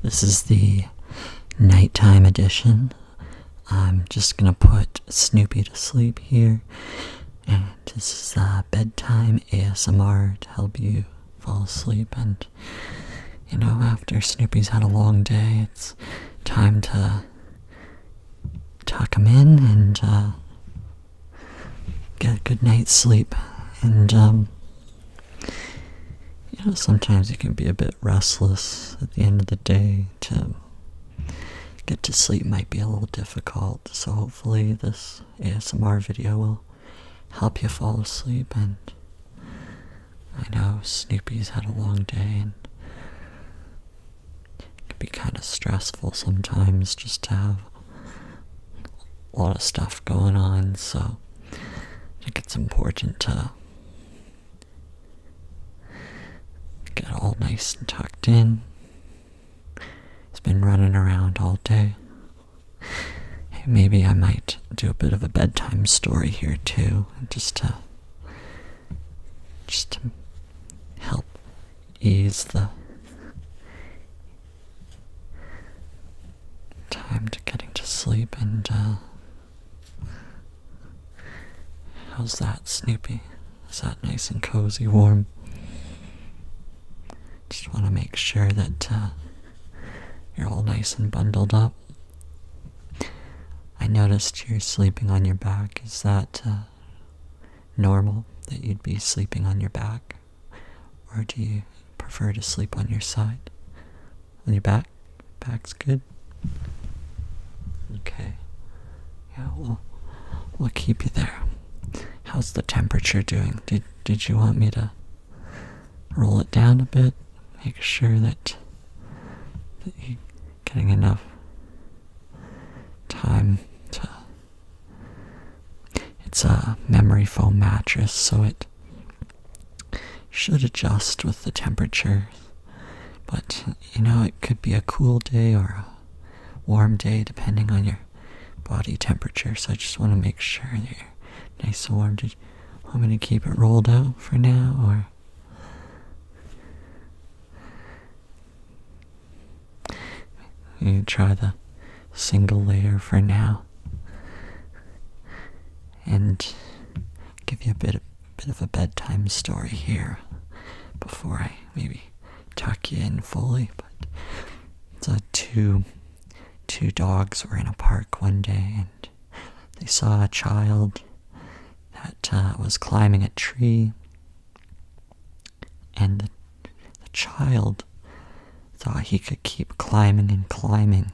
This is the nighttime edition. I'm just gonna put Snoopy to sleep here, and this is uh, bedtime ASMR to help you fall asleep. And you know, after Snoopy's had a long day, it's time to tuck him in and uh, get a good night's sleep. And um, you know, sometimes you can be a bit restless at the end of the day to get to sleep might be a little difficult so hopefully this asmr video will help you fall asleep and i know snoopy's had a long day and it can be kind of stressful sometimes just to have a lot of stuff going on, so I think it's important to get all nice and tucked in. He's been running around all day. maybe I might do a bit of a bedtime story here too, just to just to help ease the time to getting to sleep and uh how's that Snoopy? Is that nice and cozy warm? Just want to make sure that uh, you're all nice and bundled up. I noticed you're sleeping on your back. Is that uh, normal that you'd be sleeping on your back? Or do you prefer to sleep on your side? On your back? Back's good? Okay. Yeah, we'll, we'll keep you there. How's the temperature doing? Did, did you want me to roll it down a bit? Make sure that, that you're getting enough time to it's a memory foam mattress, so it should adjust with the temperature. But you know, it could be a cool day or a warm day depending on your body temperature, so I just want to make sure that you're nice and warm. I'm going to keep it rolled out for now, or. You try the single layer for now and give you a bit of, bit of a bedtime story here before I maybe tuck you in fully but so two two dogs were in a park one day and they saw a child that uh, was climbing a tree and the child thought he could keep climbing and climbing.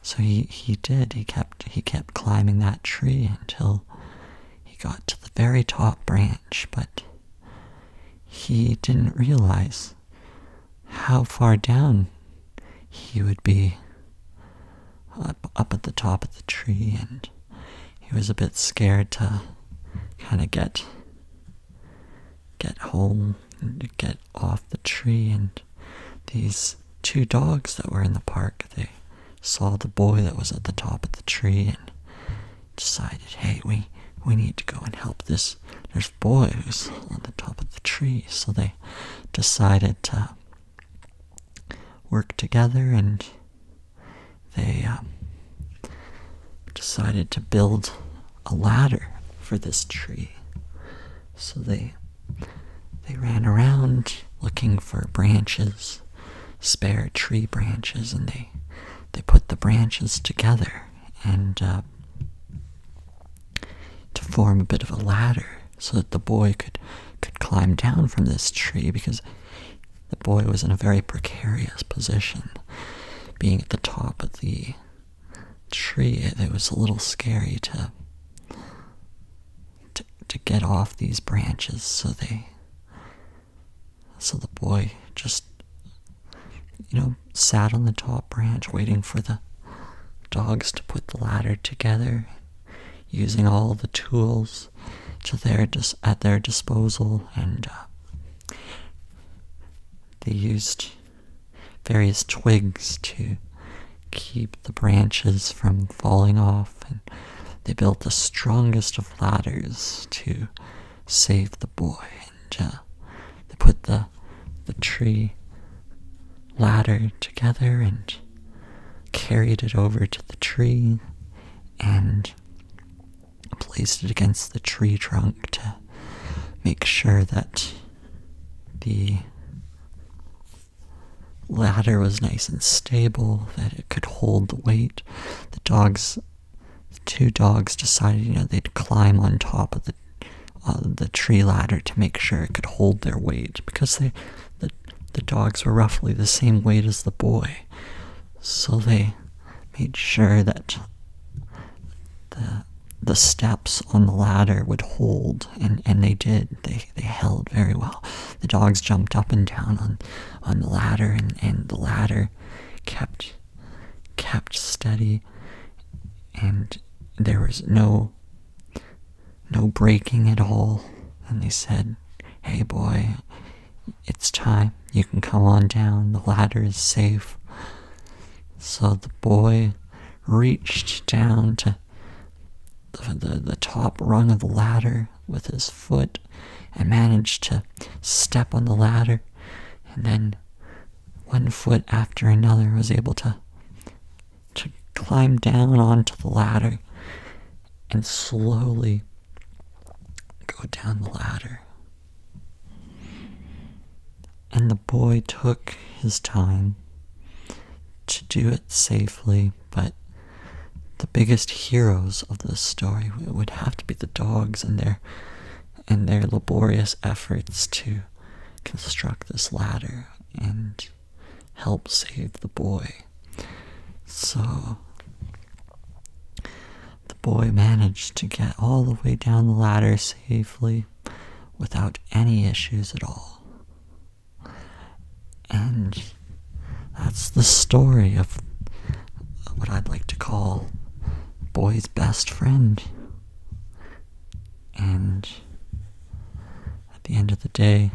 So he, he did. He kept he kept climbing that tree until he got to the very top branch, but he didn't realize how far down he would be up, up at the top of the tree and he was a bit scared to kind of get get home and get off the tree and these two dogs that were in the park they saw the boy that was at the top of the tree and decided hey we we need to go and help this there's boy who's on the top of the tree so they decided to work together and they um, decided to build a ladder for this tree. So they they ran around looking for branches, spare tree branches, and they they put the branches together and uh, to form a bit of a ladder so that the boy could could climb down from this tree because the boy was in a very precarious position, being at the top of the Tree. it. was a little scary to to, get off these branches so they so the boy just you know sat on the top branch waiting for the dogs to put the ladder together using all the tools to their dis at their disposal and uh, they used various twigs to keep the branches from falling off, and they built the strongest of ladders to save the boy. And uh, they put the the tree ladder together and carried it over to the tree, and placed it against the tree trunk to make sure that the ladder was nice and stable, that it could hold the weight. The dogs, two dogs decided, you know, they'd climb on top of the uh, the tree ladder to make sure it could hold their weight because they, the the dogs were roughly the same weight as the boy, so they made sure that the the steps on the ladder would hold and and they did they they held very well the dogs jumped up and down on on the ladder and and the ladder kept kept steady and there was no no breaking at all and they said hey boy it's time. You can come on down. The ladder is safe. So the boy reached down to the, the, top rung of the ladder with his foot and managed to step on the ladder. And then one foot after another was able to to climb down onto the ladder and slowly go down the ladder and the boy took his time to do it safely, but the biggest heroes of this story would have to be the dogs and their and their laborious efforts to construct this ladder and help save the boy. So the boy managed to get all the way down the ladder safely without any issues at all. And that's the story of what I'd like to call boy's best friend. And at the end of the day,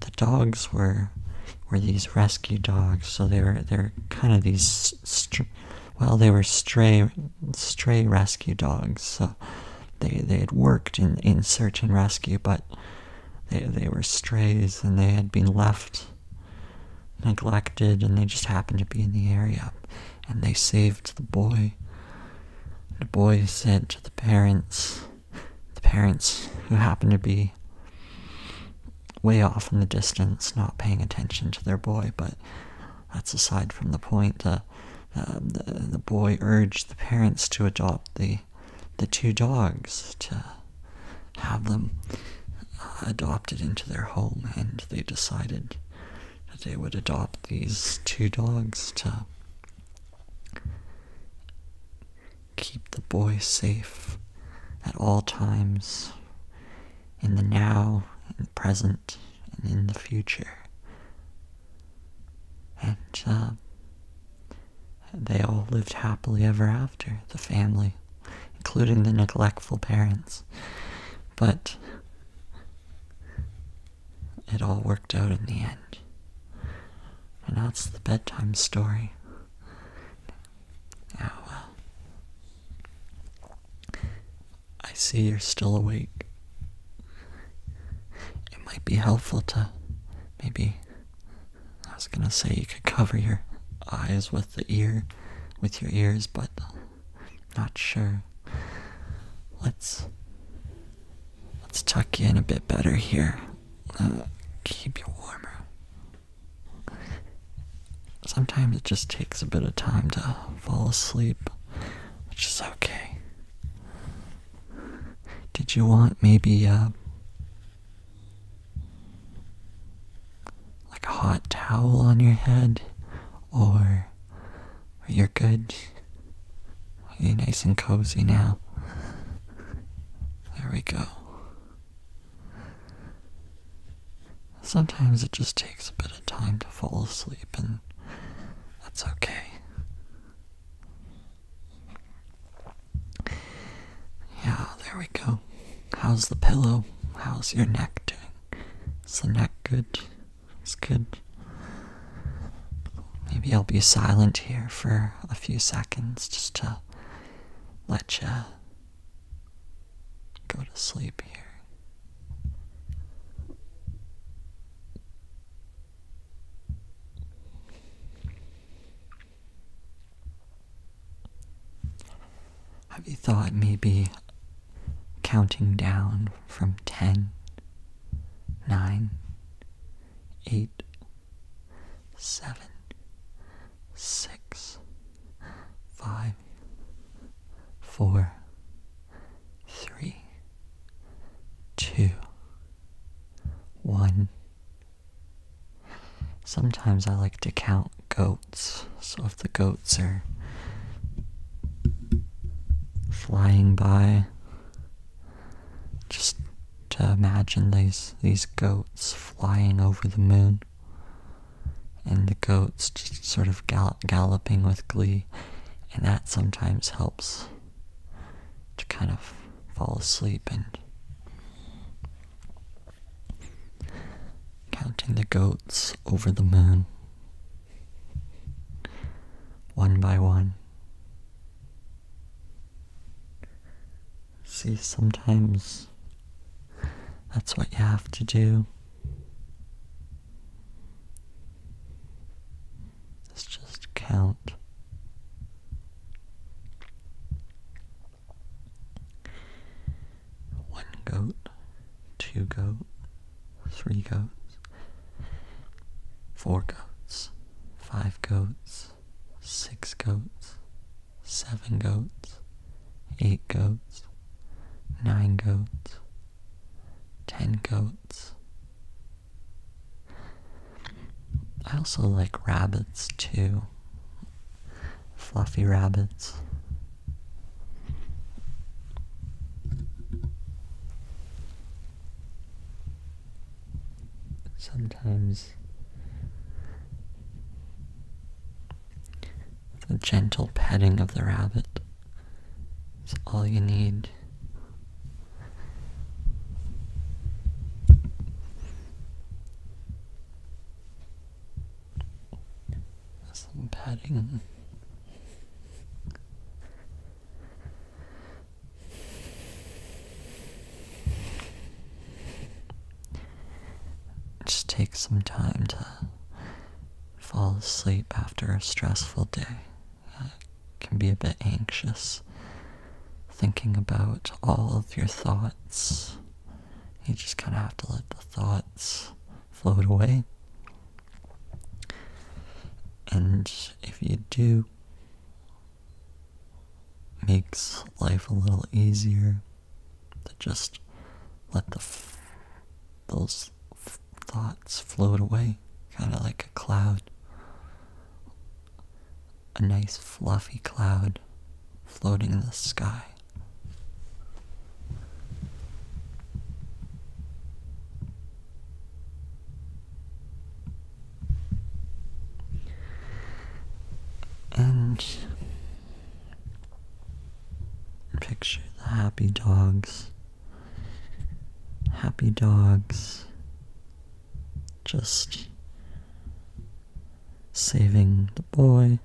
the dogs were were these rescue dogs. So they were they were kind of these well they were stray stray rescue dogs. So they they had worked in in search and rescue, but they they were strays and they had been left neglected and they just happened to be in the area and they saved the boy. The boy said to the parents the parents who happened to be way off in the distance, not paying attention to their boy, but that's aside from the point. Um, the, the boy urged the parents to adopt the, the two dogs, to have them uh, adopted into their home, and they decided that they would adopt these two dogs to keep the boy safe at all times, in the now, in the present, and in the future. And uh, they all lived happily ever after, the family, including the neglectful parents. But it all worked out in the end. And that's the bedtime story. Oh well. I see you're still awake. It might be helpful to maybe. I was gonna say you could cover your eyes with the ear, with your ears, but not sure. Let's let's tuck you in a bit better here. Uh, keep you warmer. Sometimes it just takes a bit of time to fall asleep, which is okay. Did you want maybe uh, like a hot towel on your head, or you're good? Are you nice and cozy now? There we go. Sometimes it just takes a bit of time to fall asleep, and that's okay. Yeah, there we go. How's the pillow? How's your neck doing? Is the neck good? It's good. Maybe I'll be silent here for a few seconds just to let you go to sleep here. Have you thought maybe counting down from ten, nine, eight, seven, six, five, four, three, two, one. Sometimes I like to count goats, so if the goats are flying by, just to imagine these these goats flying over the moon, and the goats just sort of galloping with glee, and that sometimes helps to kind of fall asleep and counting the goats over the moon one by one See, sometimes that's what you have to do. Let's just count. One goat, two goats, three goats, four goats, five goats six goats, seven goats, eight goats, nine goats, ten goats. I also like rabbits too. Fluffy rabbits sometimes the gentle petting of the rabbit is all you need. Some petting. Just take some time to fall asleep after a stressful day. I can be a bit anxious thinking about all of your thoughts. You just kind of have to let the thoughts float away. And if you do makes life a little easier to just let the those thoughts float away, kind of like a cloud. A nice fluffy cloud floating in the sky. And picture the happy dogs. Happy dogs just saving the boy,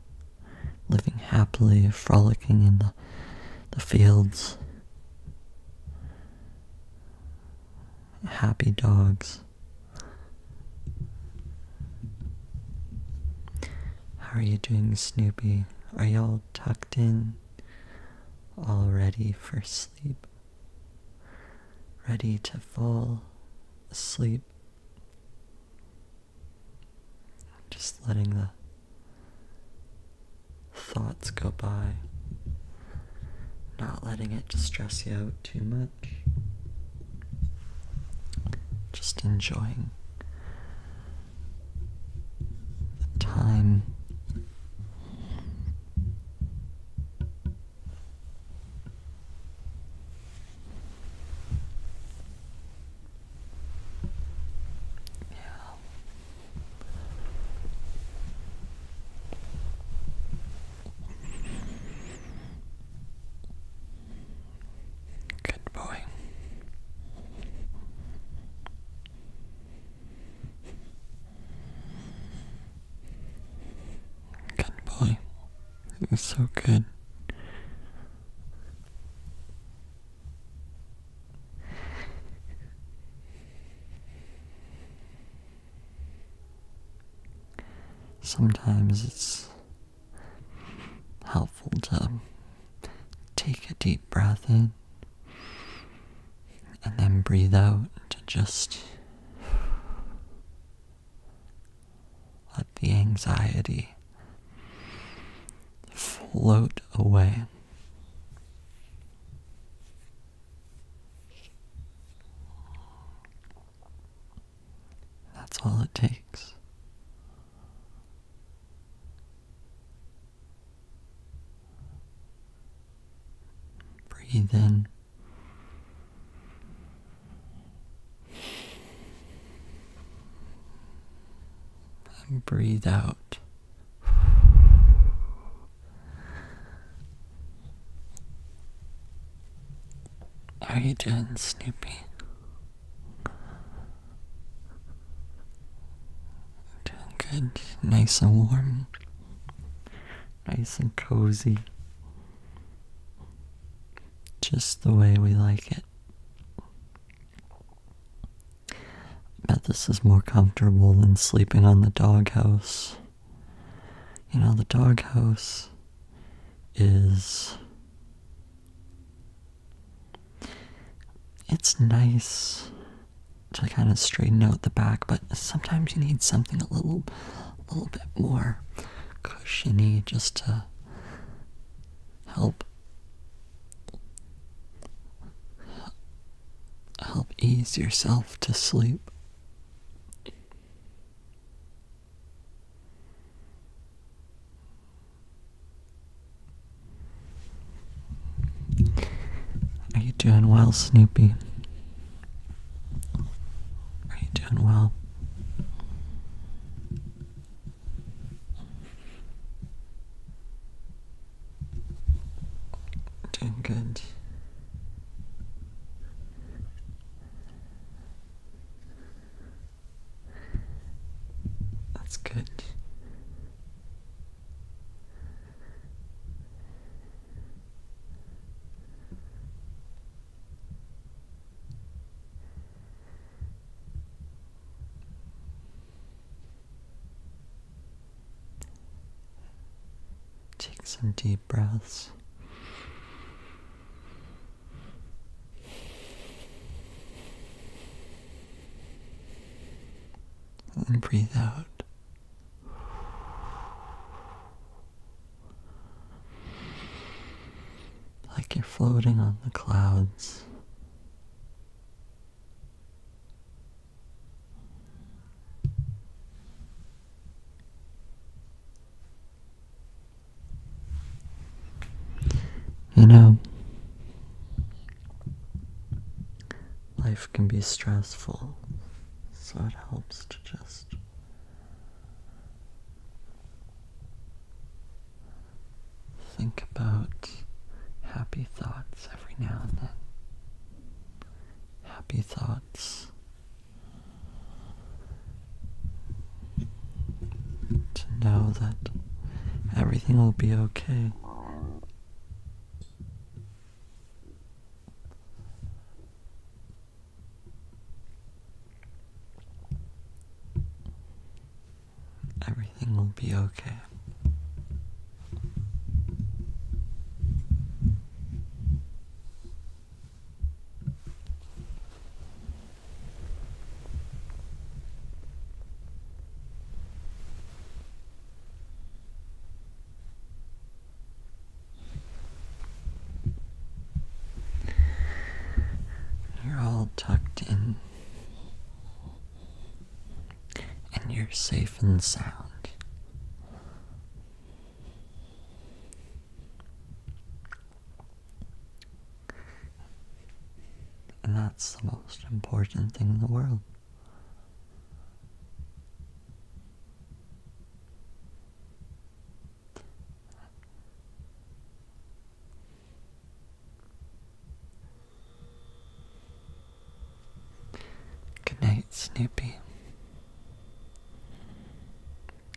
living happily, frolicking in the, the fields happy dogs. How are you doing, Snoopy? Are y'all tucked in? All ready for sleep? Ready to fall asleep? Just letting the thoughts go by, not letting it stress you out too much, just enjoying the time. Yeah. Good boy. Good boy. You're so good. Sometimes it's helpful to take a deep breath in and then breathe out to just let the anxiety float away. That's all it takes. Breathe in. And breathe out. How are you doing, Snoopy? Doing good, nice and warm, nice and cozy, just the way we like it. I bet this is more comfortable than sleeping on the doghouse. You know, the doghouse is. It's nice to kind of straighten out the back, but sometimes you need something a little, a little bit more cushiony just to help help ease yourself to sleep. Are you doing well, Snoopy? Are you doing well? Doing good. That's good. Take some deep breaths. And breathe out. Like you're floating on the clouds. You know, life can be stressful, so it helps to just think about happy thoughts every now and then. Happy thoughts to know that everything will be okay. Everything will be okay. You're all tucked in and you're safe and sound. And that's the most important thing in the world. Good night, Snoopy.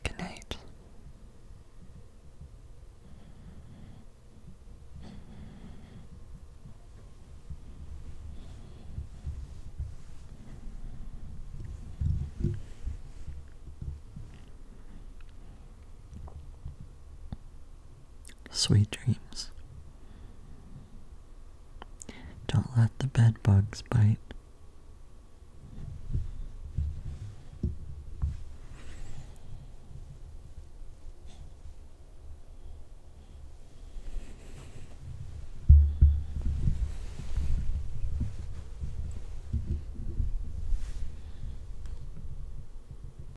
Good night. Sweet dreams. Don't let the bed bugs bite.